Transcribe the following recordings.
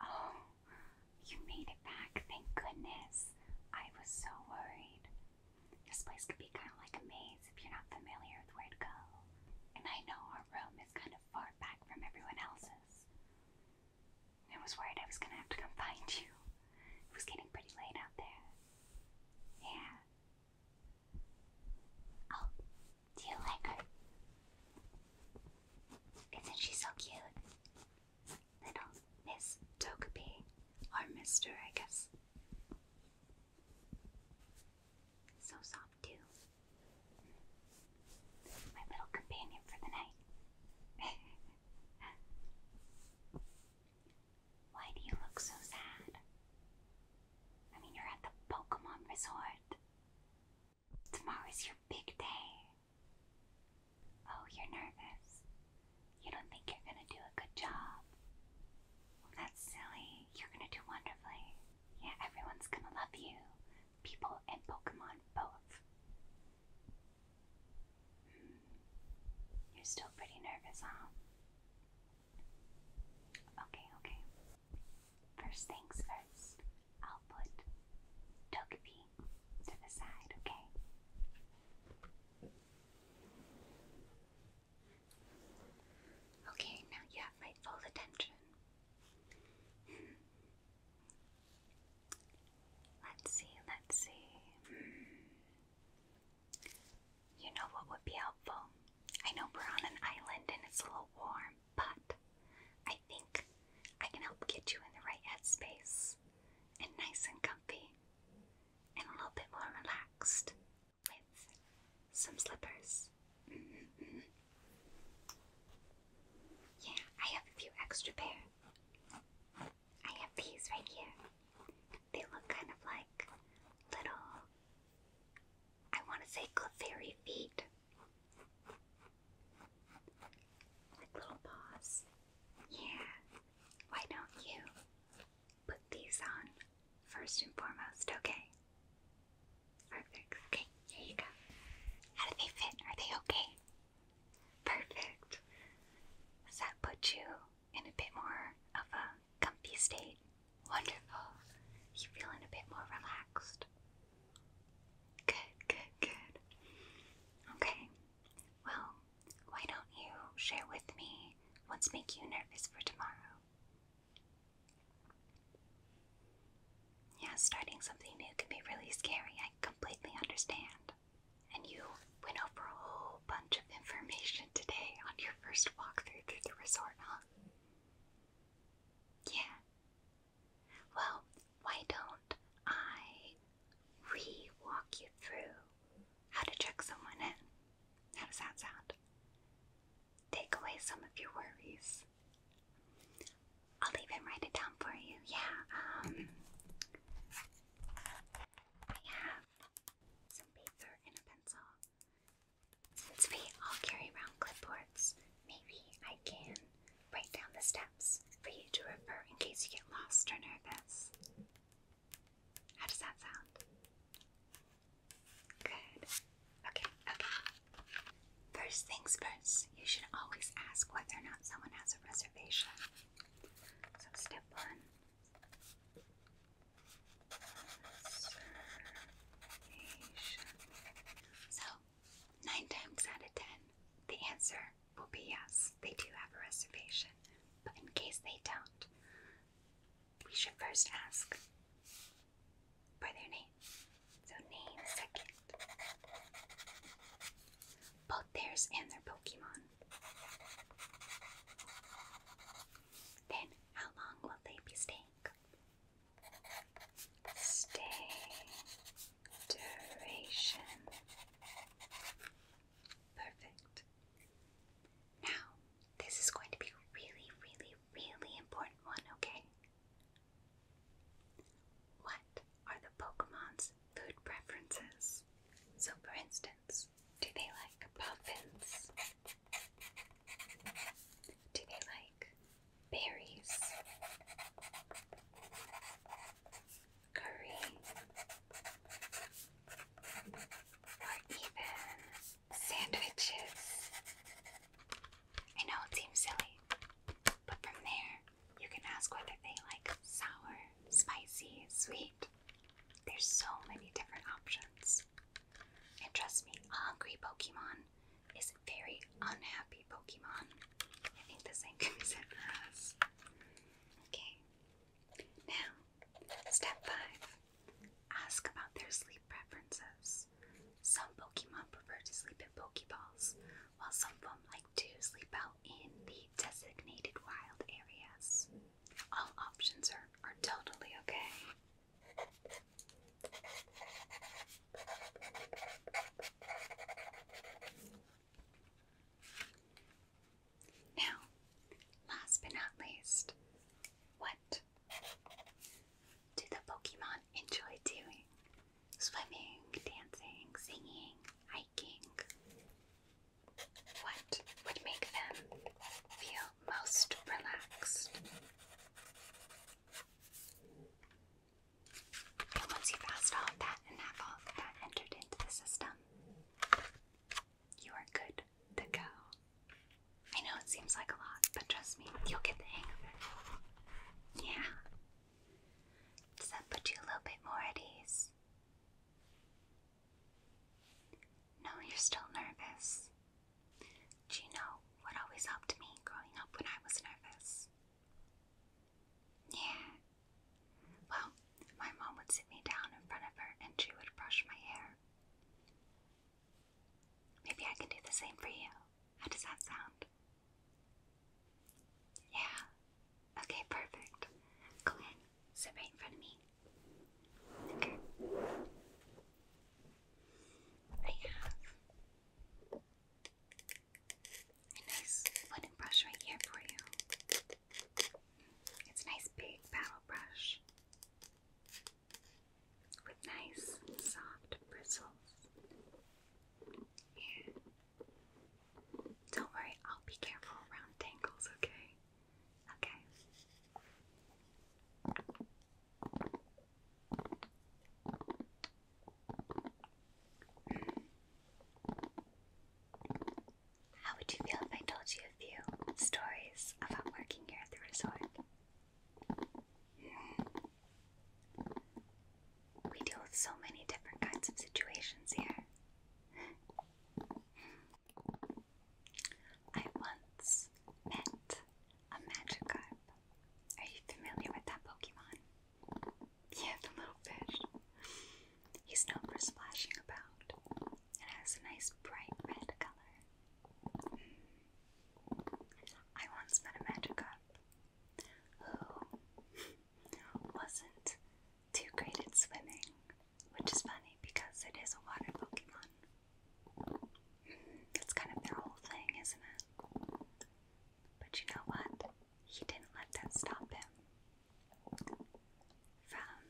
Oh, you made it back, thank goodness. I was so worried. This place could be kind of like a maze if you're not familiar with where to go. And I know our room is kind of far back from everyone else's. I was worried I was gonna have to come find you. It was getting pretty late out there. There. Oh, do you like her? Isn't so cute? Little Miss Togepi, or Mister, I guess. So soft too. My little companion for the night. Why do you look so sad? I mean, you're at the Pokemon Resort. Tomorrow is your big day. Oh, you're nervous. You don't think you're gonna do a good job. that's silly. You're gonna do wonderfully. Yeah, everyone's gonna love you. People and Pokemon both. You're still pretty nervous, huh? Okay, okay. First things first, I'll put Togepi to the side, okay? Okay, now you have my full attention. Hmm. let's see, let's see. Hmm. You know what would be helpful? I know we're on an island and it's a little warm, but I think I can help get you in the right headspace and nice and comfy and a little bit more relaxed with some slippers. Mm-hmm, mm-hmm. Yeah, I have a few extra pair. I have these right here. They look kind of like little, I want to say Clefairy feet. Like little paws. Yeah. Why don't you put these on first and foremost, okay? Perfect. Okay, here you go. How do they fit? Are they okay? Perfect. Does that put you in a bit more of a comfy state? Wonderful. You feeling a bit more relaxed? Good, good, good. Okay. Well, why don't you share with me what's making you nervous for tomorrow? Yeah, starting something new can be really scary. I completely understand and you went over a whole bunch of information today on your first walk through the resort, huh? Yeah. Well, why don't I re you through how to check someone in? How does that sound? Take away some of your worries. I'll even write it down for you. Yeah, um, I have some paper and a pencil. Since we all carry around clipboards, maybe I can write down the steps for you to refer in case you get lost or nervous. How does that sound? Good. Okay, okay. First things first, you should always ask whether or not someone has a reservation. So step one. So, nine times out of ten, the answer will be yes, they do have a reservation. But in case they don't, we should first ask for their name. So, name second both theirs and their Pokemon. Then, how long will they be staying? Stay duration. Perfect. Now, this is going to be really, really, really important one, okay? What are the Pokemon's food preferences. So, for instance, do they like puffins? Do they like berries? Curry? Or even sandwiches? I know it seems silly, but from there, you can ask whether they like sour, spicy, sweet. There's so many different options. And trust me, a hungry Pokemon is very unhappy Pokemon. I think this same can be said for us. Okay. Now, step five ask about their sleep preferences. Some Pokemon prefer to sleep in Pokeballs, while some of them like to sleep out in the designated wild areas. All options are, are totally okay. Now, last but not least, what do the Pokemon enjoy doing? Swimming, dancing, singing, hiking. What would make them feel most relaxed? once you've asked all that and have all that entered into the system, you are good to go. I know it seems like a lot, but trust me, you'll get the hang of it. Yeah. Does that put you a little bit more at ease? No, you're still nervous. Do you know what always helped me growing up when I was nervous? Yeah. Well, my mom would sit me down in front of her and she would brush my hair. Maybe I can do the same for you. How does that sound? Yeah. Okay, perfect. Go ahead. Sit right in front of me. Okay. I have a nice wooden brush right here for you. It's a nice big paddle brush with nice soft bristles. And don't worry, I'll be careful around tangles, okay? Okay. How would you feel if I told you a few stories about working here at the resort? Hmm. We deal with so many different kinds of situations here. I once met a Magikarp. Are you familiar with that Pokemon? Yeah, the little fish. He's known for splashing about and has a nice bright red color. Hmm. I once met a Magikarp who wasn't too great at swimming, which is funny because it is a water Pokemon. That's kind of their whole thing, isn't it? But you know what? He didn't let that stop him from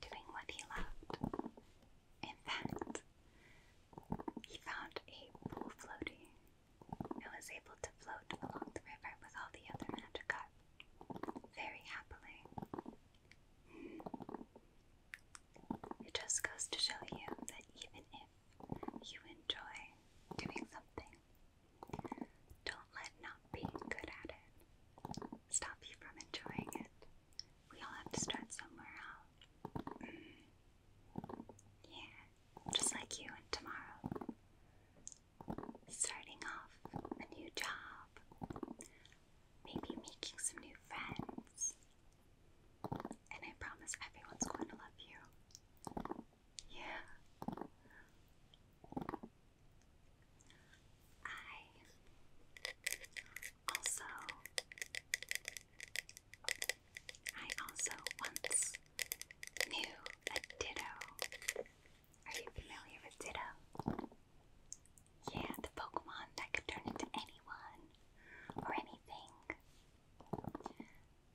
doing what he loved. In fact, he found a pool floaty I was able to float along the river with all the other Magikarp very happily. It just goes to show you that even if you enjoy doing something, don't let not being good at it stop you from enjoying it. We all have to somewhere out. Yeah, just like you and tomorrow. Starting off a new job, maybe making some new friends. And I promise everyone's going to love you. Yeah. I also I also once knew a ditto. Are you familiar with ditto? Yeah, the Pokemon that could turn into anyone or anything.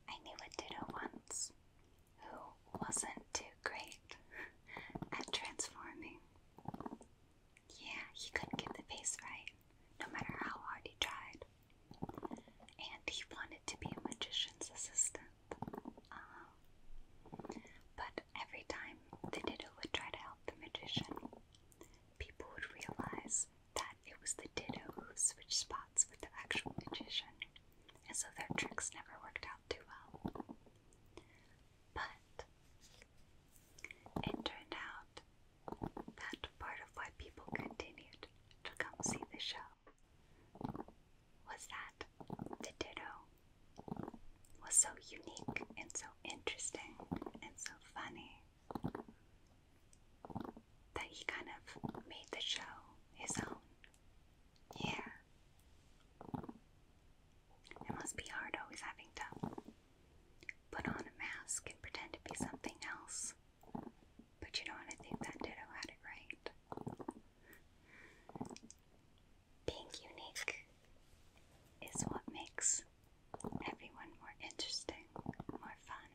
I knew a ditto once who wasn't too great at transforming. Yeah, he couldn't get the face right, no matter how hard he tried and he wanted to be a magician's assistant. Uh, but every time the Ditto would try to help the magician, people would realize that it was the Ditto who switched spots with the actual magician, and so their tricks never worked out too well. But it turned out out. That part of why people continued to come see the show was that the Ditto was so unique and so interesting and so funny that he kind of made the show his own. Yeah. It must be hard always having to put on a mask and pretend to be something else but you know what? I think that ditto had it right. Being unique is what makes everyone more interesting, more fun.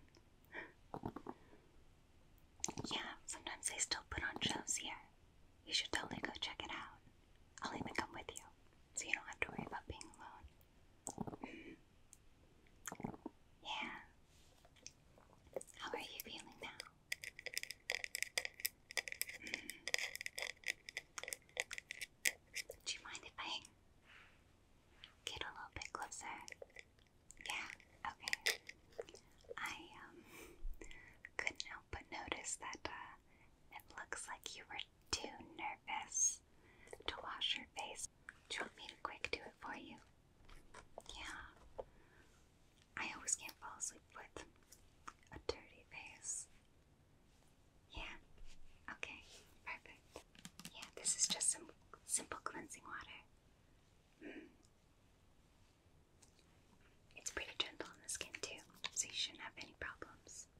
yeah, sometimes they still put on shows here. You should totally go check it out. I'll even come with you, so you don't have to worry about being alone. Yeah. How are you feeling now? Mm. Do you mind if I get a little bit closer? Yeah, okay. I um couldn't help but notice that uh it looks like you were too nervous to wash your face you want me to quick do it for you? Yeah. I always can't fall asleep with a dirty face. Yeah. Okay. Perfect. Yeah, this is just some simple cleansing water. Mm. It's pretty gentle on the skin too, so you shouldn't have any problems.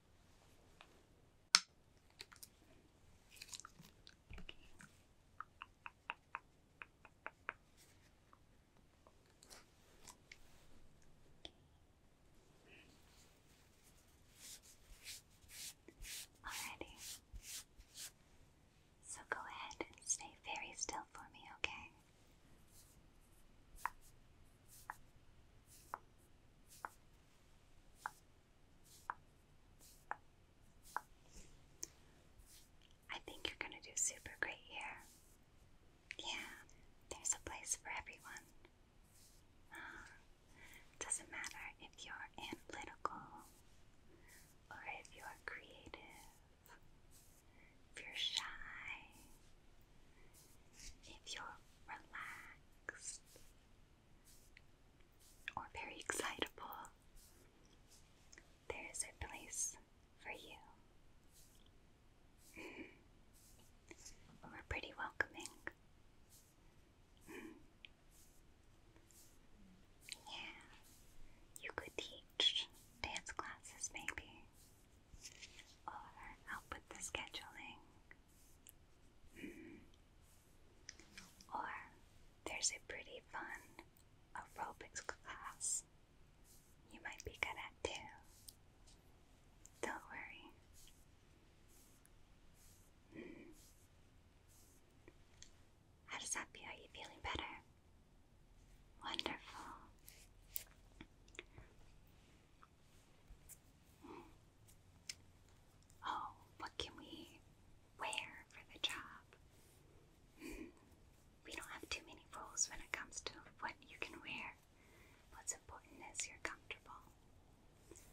Alrighty. So go ahead stay very still for me, Okay. I think you're going to do super great here. Yeah, there's a place for everyone. Uh, doesn't matter if you're analytical or if you're creative, if you're shy, if you're relaxed, or very excitable, there is a place for you. We're pretty welcoming. Yeah, you could teach dance classes maybe, or help with the scheduling. Or there's a pretty fun aerobics class you might be good at too. Don't worry. How does that feel? Are you feeling better? Wonderful. Oh, what can we wear for the job? Hmm. We don't have too many rules when it comes to what you can wear. What's important is you're comfortable.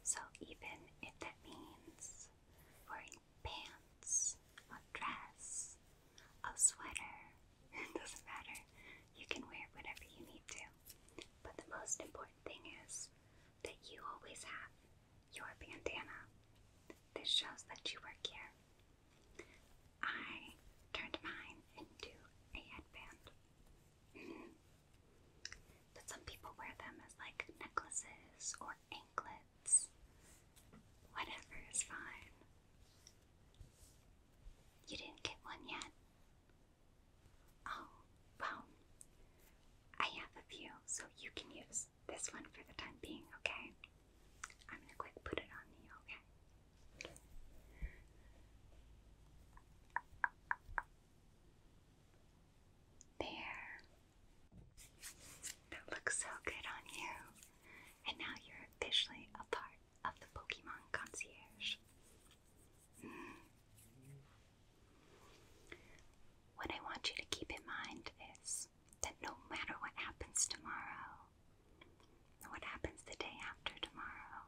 So, even if that means wearing pants, a dress, a sweater, it doesn't matter. You can wear whatever you need to. But the most important thing is that you always have your bandana. This shows that you work here. I turned mine into a headband. Mm some people wear them as like necklaces or anklets. Whatever is fine. You didn't get one yet? Oh, well, I have a few, so you can use this one for the time being, okay? I'm gonna quick put it on you, okay? There. That looks so good on you. And now you're officially a part of the Pokemon Concierge. What I want you to keep in mind is that no matter what happens tomorrow, what happens the day after tomorrow,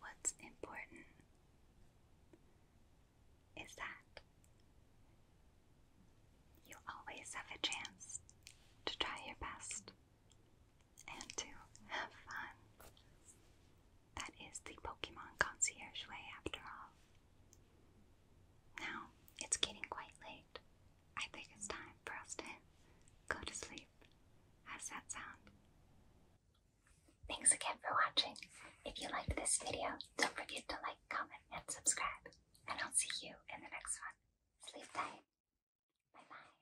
what's important is that you always have a chance to try your best and to have fun. That is the Pokemon concierge way, after all. Now, it's getting quite late. I think it's time for us to go to sleep. How's that sound? Thanks again for watching. If you liked this video, don't forget to like, comment, and subscribe. And I'll see you in the next one. Sleep tight. Bye bye.